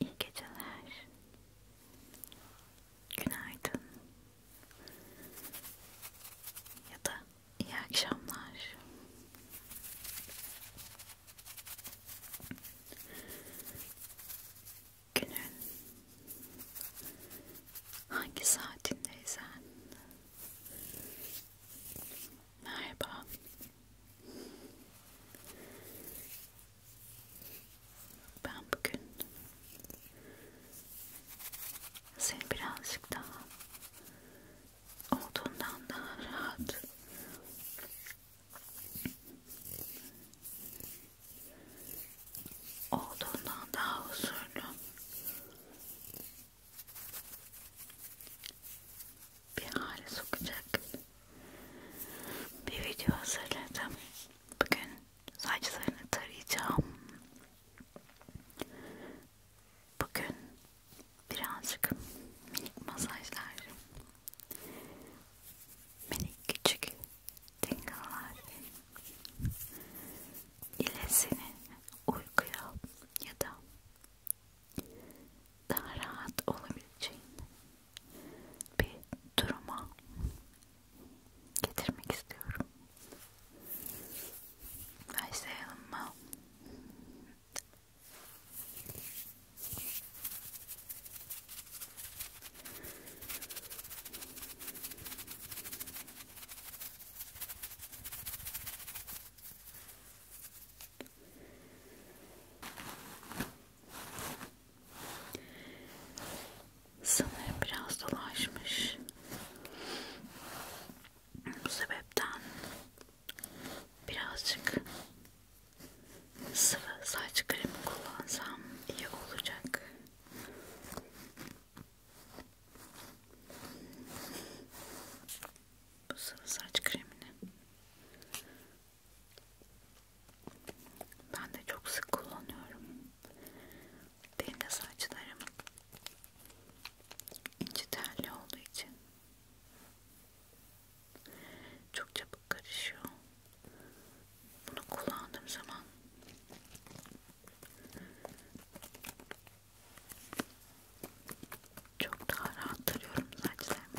İyi geceler. Günaydın. Ya da iyi akşamlar. Günün hangi saatindeysen merhaba ben bugün seni birazcık daha olduğundan daha rahat olduğundan daha huzurlu bir hale sokacak bir video hazırladım Bugün saçlarını tarayacağım. Bugün birazcık minik masajlar, minik küçük tinglelar ile seni uykuya ya da daha rahat olabileceğin bir duruma getirmek istiyorum. Başlayalım mı? Sanırım biraz dolaşmış. Bu sebepten birazcık sıvı saç kremi kullansam iyi olacak. Bu sıvı saç kremini ben de çok sık kullanıyorum. Benim de saçlarım ince telli olduğu için çok çabuk karışıyor. Bunu kullandığım zaman çok daha rahat tarıyorum saçlarımı.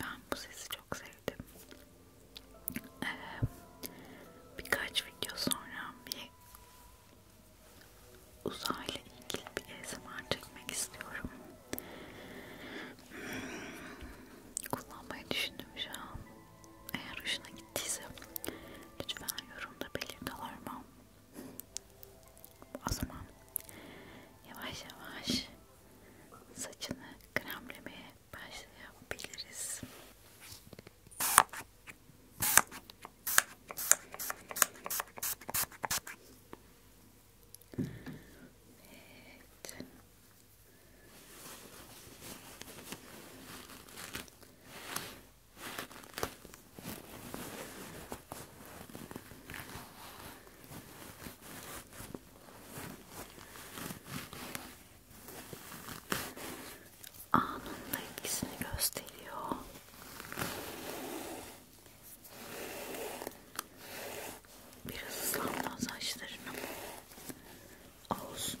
Ben bu sesi çok sevdim. Ee, birkaç video sonra bir uzayla ilgili bir ASMR çekmek istiyorum. Hmm, kullanmayı düşündüm şu an. Eğer hoşuna gittiyse lütfen yorumda belirti alarma. O zaman yavaş yavaş saçını kremlemeye başlayabiliriz. Evet. Anında etkisini gösteriyor. Biraz ıslandı saçlarını. Olsun.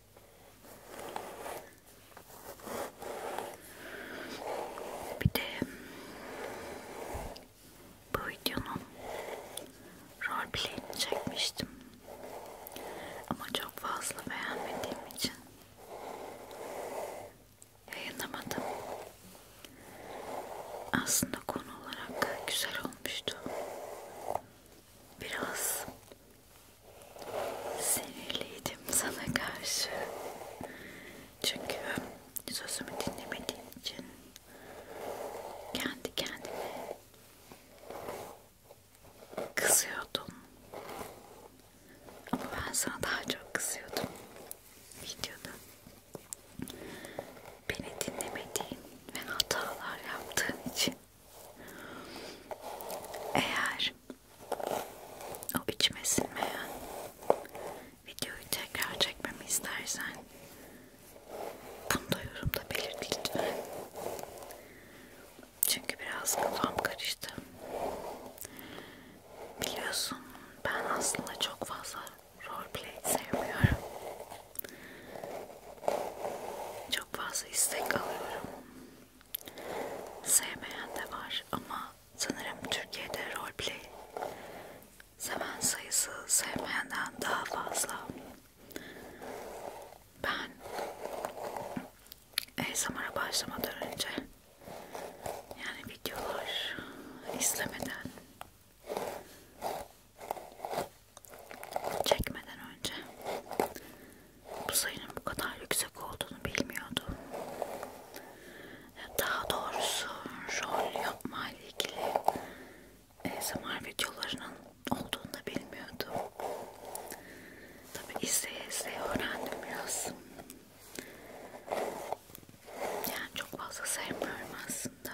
Bir de bu videonun roleplay'ini çekmiştim. Ama çok fazla beğenmediğim için yayınlamadım. Aslında konu olarak güzel olmuştu. Biraz Sinirliydim sana karşı. Çünkü sözümü dinlemediğin için kendi kendime kızıyordun. Ama ben sana daha çok kızıyordum videoda. Beni dinlemediğin ve hatalar yaptığın için eğer o içime sinmeyen videoyu tekrar çekmemi istersen bunu da yorumda belirt lütfen. Çünkü biraz kafam karıştı. Biliyorsun ben aslında çok fazla roleplay sevmiyorum. Çok fazla istek alıyorum sevmeyen de var ama sanırım Türkiye'de roleplay seven sayısı sevmeyenden daha fazla. Ben ASMR'a başlamadan önce yani videolar izlemeden çekmeden önce bu sayının bu kadar yüksek olduğunu bilmiyordum. Daha doğrusu rol yapma ile ilgili ASMR videolarının olduğunu da bilmiyordum. Tabi izleye izleye öğrendim biraz. Yani çok fazla sevmiyorum aslında.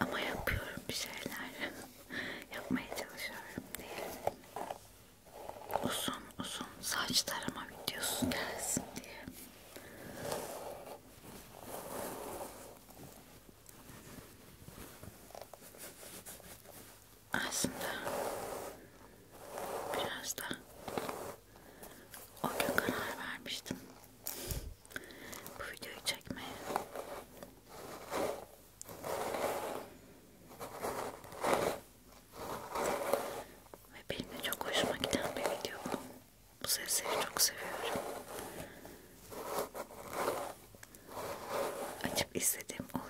Ama yapıyorum bir şeyler. Yapmaya çalışıyorum diyelim uzun uzun saç tarama videosu gelsin diye aslında biraz da o gün karar vermiştim bu videoyu çekmeye ve benim de çok hoşuma giden bir video bu. Bu sesleri çok seviyorum. Açıp izlediğim oluyor.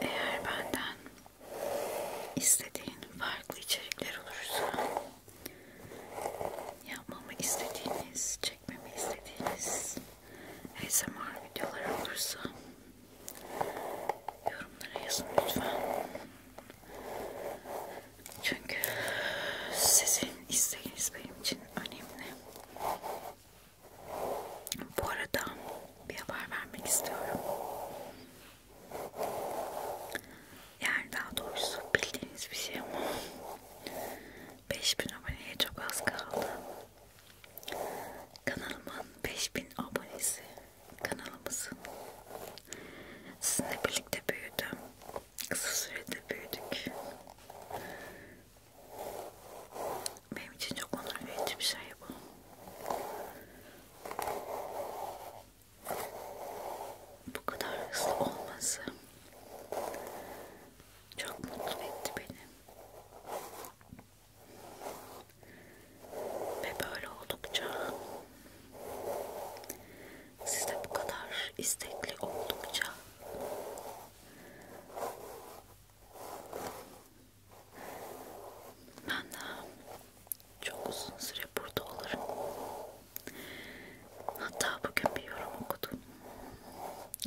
Eğer benden istediğin farklı içerikler olursa yapmamı istediğiniz, çekmemi istediğiniz ASMR videolar olursa yorumlara yazın lütfen. Çünkü sizin isteğiniz benim için önemli. Bu arada bir haber vermek istiyorum. Yani daha doğrusu bildiğiniz bir şey ama 5000 aboneye çok az kaldı. Kanalımın 5000 abonesi kanalımızın sizinle birlikte büyüdüm kısa sürede büyüdük. Benim için çok onur verici bir şey bu. Bu kadar hızlı olması çok mutlu etti beni. Ve böyle oldukça siz de bu kadar istekli oldukça ben de çok uzun süre burada olurum. Hatta bugün bir yorum okudum.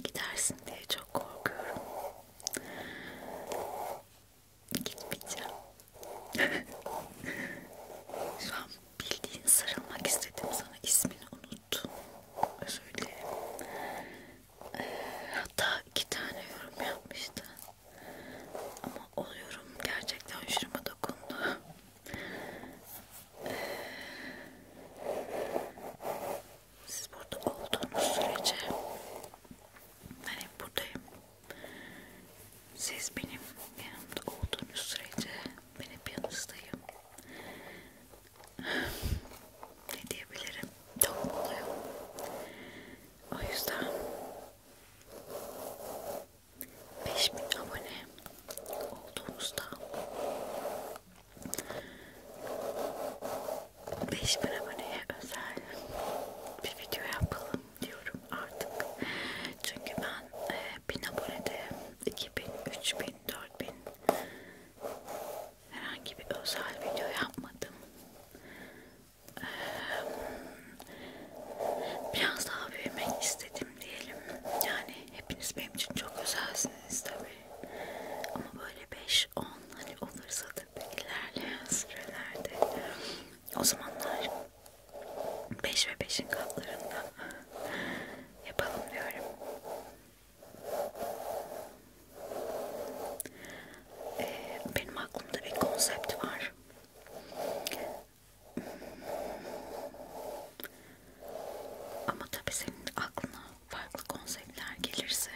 Gidersin diye çok korkuyorum. Gitmeyeceğim. Şu an bildiğin sarılmak istedim sana ismini unuttum özür dilerim ee, hatta iki tane yorum yapmıştı ama o yorum gerçekten şurama dokundu ee, siz burada olduğunuz sürece ben hep buradayım siz benim yanımda olduğunuz sürece ben hep yanınızdayım. ne diyebilirim? Çok mutluyum. O yüzden 5000 abone olduğumuzda 5000 aboneye özel bir video yapalım diyorum artık. Çünkü ben 1000 e, abonede 2000, 3000 3000 4000 herhangi bir özel video yapmadım. Ee, biraz daha büyümek istedim diyelim. Yani hepiniz benim için çok özelsiniz tabii. Ama böyle 5-10 hani olursa tabii ilerleyen sürelerde o zamanlar 5 ve 5'in katlarında yapalım diyorum. Ee, benim aklımda bir konsept var. Ama tabii senin aklına farklı konseptler gelirse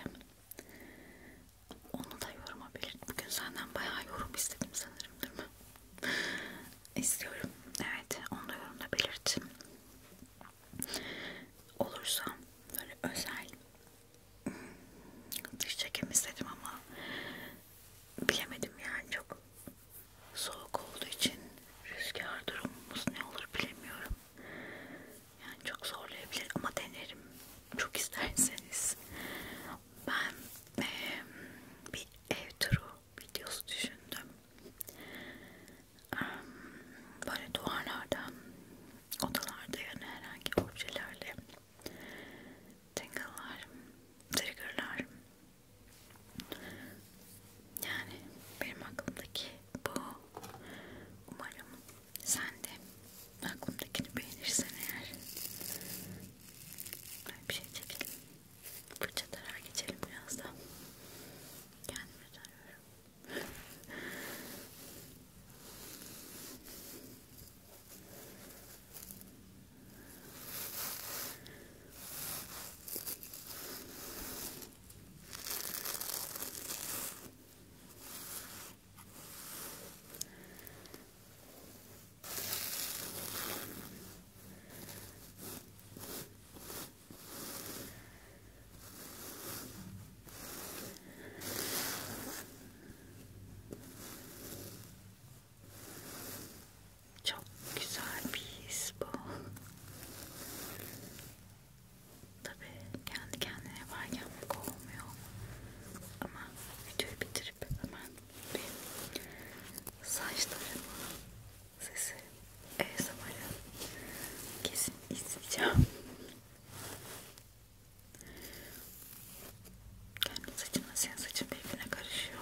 onu da yoruma belir. Bugün senden bayağı yorum istedim sanırım değil mi? istiyorum. Evet, onu da yorumda belirtin. Olursa böyle özel dış hmm, çekim istedim ama bilemedim yani çok soğuk olduğu için rüzgar durumumuz ne olur bilemiyorum. Yani çok zorlayabilir ama denerim. Çok isterseniz ben e, bir ev turu videosu düşündüm. Böyle duvarlardan, odalarda yani herhangi objelerle tingle'lar, trigger'lar yani benim aklımdaki bu. Umarım sen de aklımdakini beğenirsen eğer bir şey çekelim fırça tarar geçelim biraz da. Kendimi tarıyorum. Şöyle çok güzel bir his bu. Tabii kendi kendine var yapmak olmuyor ama videoyu bitirip hemen bir saçlarımı sesi ASMR'ı kesin izleyeceğim. Kendi saçımla senin saçın birbirine karışıyor.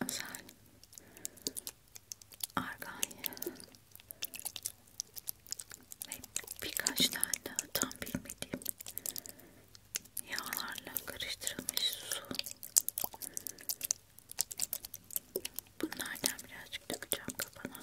Özel Arganya ve birkaç tane daha tam bilmediğim yağlarla karıştırılmış su bunlardan birazcık dökeceğim kafana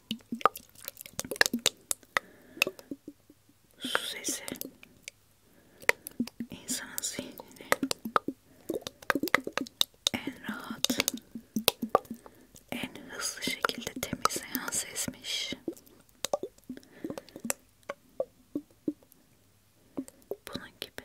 Su sesi insanın zihnini en rahat, en hızlı şekilde temizleyen sesmiş. Bunun gibi.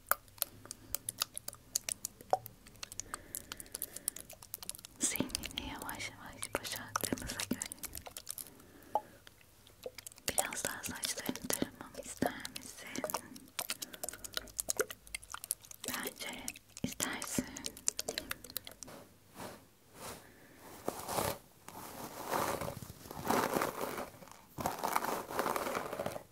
Zihnini yavaş yavaş boşalttığımıza göre biraz daha saçlarını taramamı ister Bence istersin.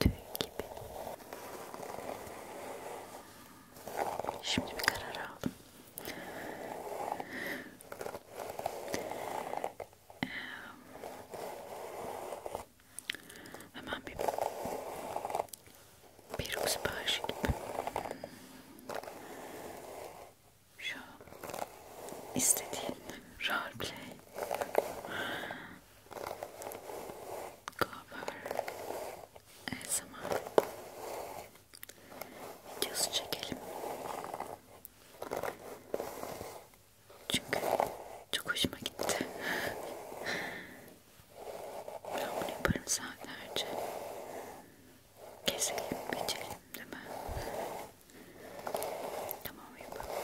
tüy gibi. Şimdi bir karar aldım. Ee, hemen bir peruk siparişi gibi. Şu istediğin roleplay cover ASMR videosu çekelim çünkü çok hoşuma gitti ben bunu yaparım saatlerce keselim biçelim değil mi? tamam yapalım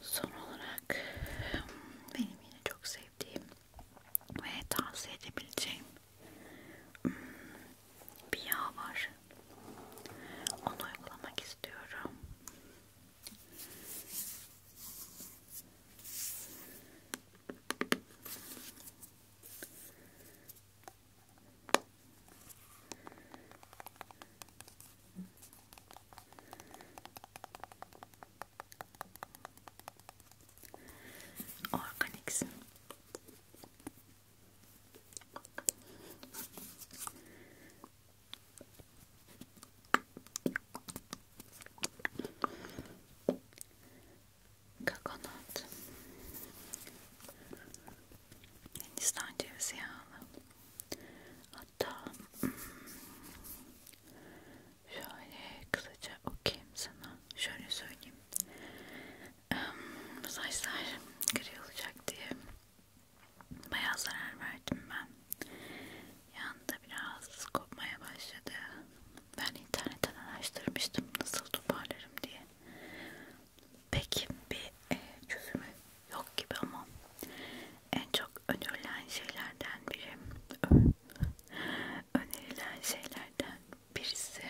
Son olarak benim yine çok sevdiğim ve tavsiye edebileceğim hmm, bir yağ var. Onu uygulamak istiyorum. Organiksin. Kakonat. Hindistan cevizi yağlı. Hatta hmm, şöyle kısaca okuyayım sana. Şöyle söyleyeyim. Saçlar gri olacak diye Bayağı zarar verdim ben. Yanında biraz kopmaya başladı. Ben internetten araştırmıştım nasıl toparlarım diye. Peki bir e, çözümü yok gibi ama en çok önerilen şeylerden biri önerilen şeylerden birisi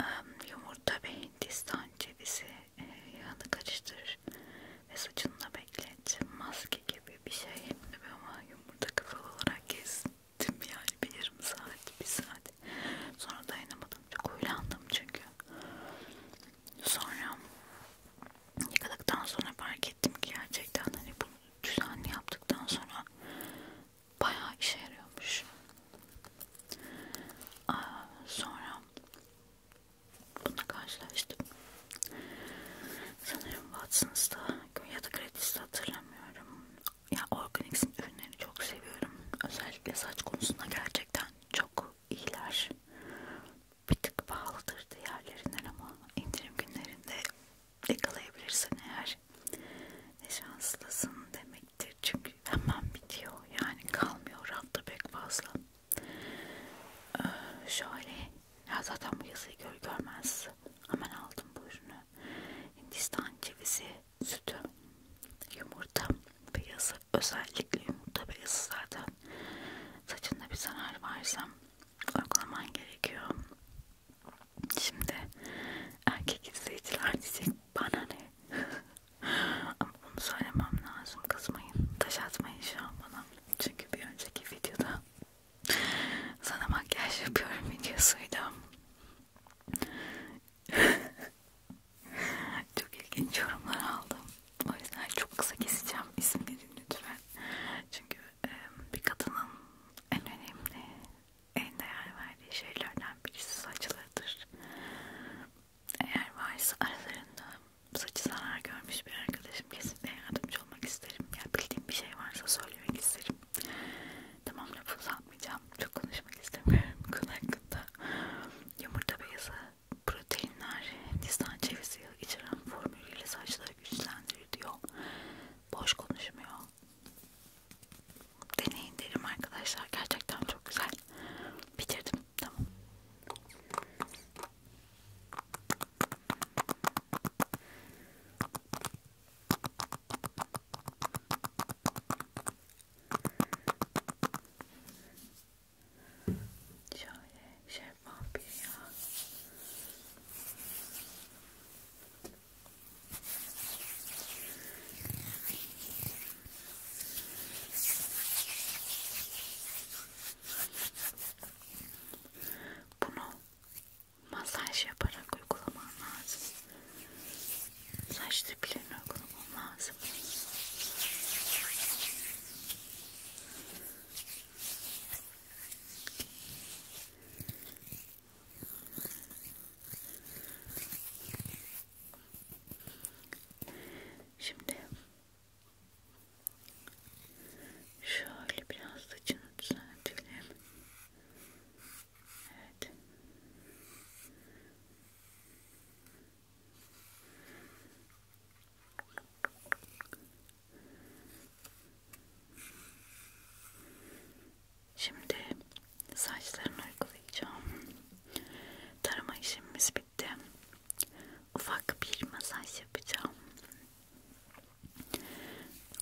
um, yumurta ve hindistan cevizi yağını karıştır ve saçında beklet maske gibi bir şey ama yumurta kafalı olarak gezdim yani bir yarım saat bir saat sonra dayanamadım çok uylandım çünkü sonra yıkadıktan sonra fark ettim ki gerçekten hani bunu düzenli yaptıktan sonra bayağı işe yarıyormuş Aa, sonra Bununla karşılaştım. Sanırım Watson's'ta ya da Gratis'te hatırlamıyorum. Ya Organics'in ürünlerini çok seviyorum. Özellikle saç konusunda gerçekten çok iyiler. Bir tık pahalıdır diğerlerinden ama indirim günlerinde yakalayabilirsin eğer. Ne şanslısın demektir olabilir çünkü hemen bitiyor yani kalmıyor rafta pek fazla ee, şöyle ya zaten bu yazıyı gör görmez hemen aldım bu ürünü Hindistan cevizi sütü yumurta beyazı özellikle yumurta beyazı zaten saçında bir zarar varsa uygulaman gerekiyor şimdi erkek izleyiciler diyecek bana ne Ama bunu söylemem lazım. Kızmayın. Taş atmayın şu an bana. Çünkü bir önceki videoda sana makyaj yapıyorum videosuyla. çok ilginç yorumlar aldım. O yüzden çok kısa keseceğim isimlerini lütfen. Çünkü bir kadının en önemli, en değer verdiği şeylerden birisi saçlarıdır eğer varsa aralarında saçı zarar görmüş bir arkadaşım kesinlikle yardımcı olmak isterim. Ya bildiğim bir şey varsa söylemek isterim. Tamam lafı uzatmayacağım. Çok konuşmak istemiyorum bu konu hakkında. Yumurta beyazı, proteinler, Hindistan cevizi içeren formülüyle saçları güçlendirir diyor. Boş konuşmuyor. Deneyin derim arkadaşlar. Gerçekten çok güzel. Bitirdim. Tamam. Şöyle şeffaf bir yağ. Bunu masaj yaparak uygulaman lazım. Saç diplerini uygulaman lazım. Șimdi Şöyle biraz saçını düzeltelim. Evet. Şimdi saçlarını uygulayacağım. Tarama işlemimiz bitti. Ufak bir masaj yapacağım.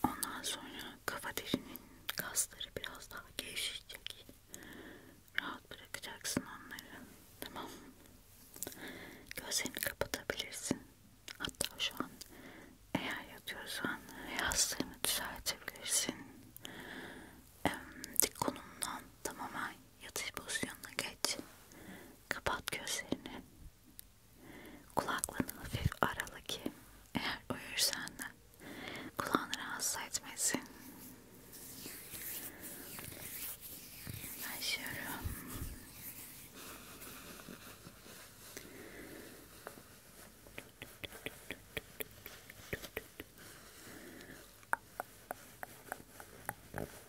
Ondan sonra kafa derinin kasları biraz daha gevşecek. Rahat bırakacaksın onları. Tamam. Gözlerini kapatabilirsin. Hatta şu an eğer yatıyorsan yastığını düzeltebilirsin. Dik konumdan tamamen Yatış pozisyonuna geç. Kapat gözlerini. Kulaklarını hafif arala ki eğer uyursan da kulağını rahatsız etmesin. Başlıyorum.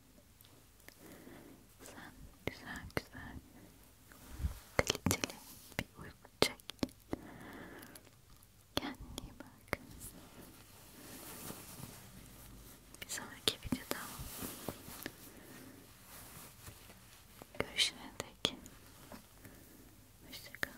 Sen güzel güzel kaliteli bir uyku çek. Kendine bak. Bir sonraki videoda görüşene dek hoşçakal.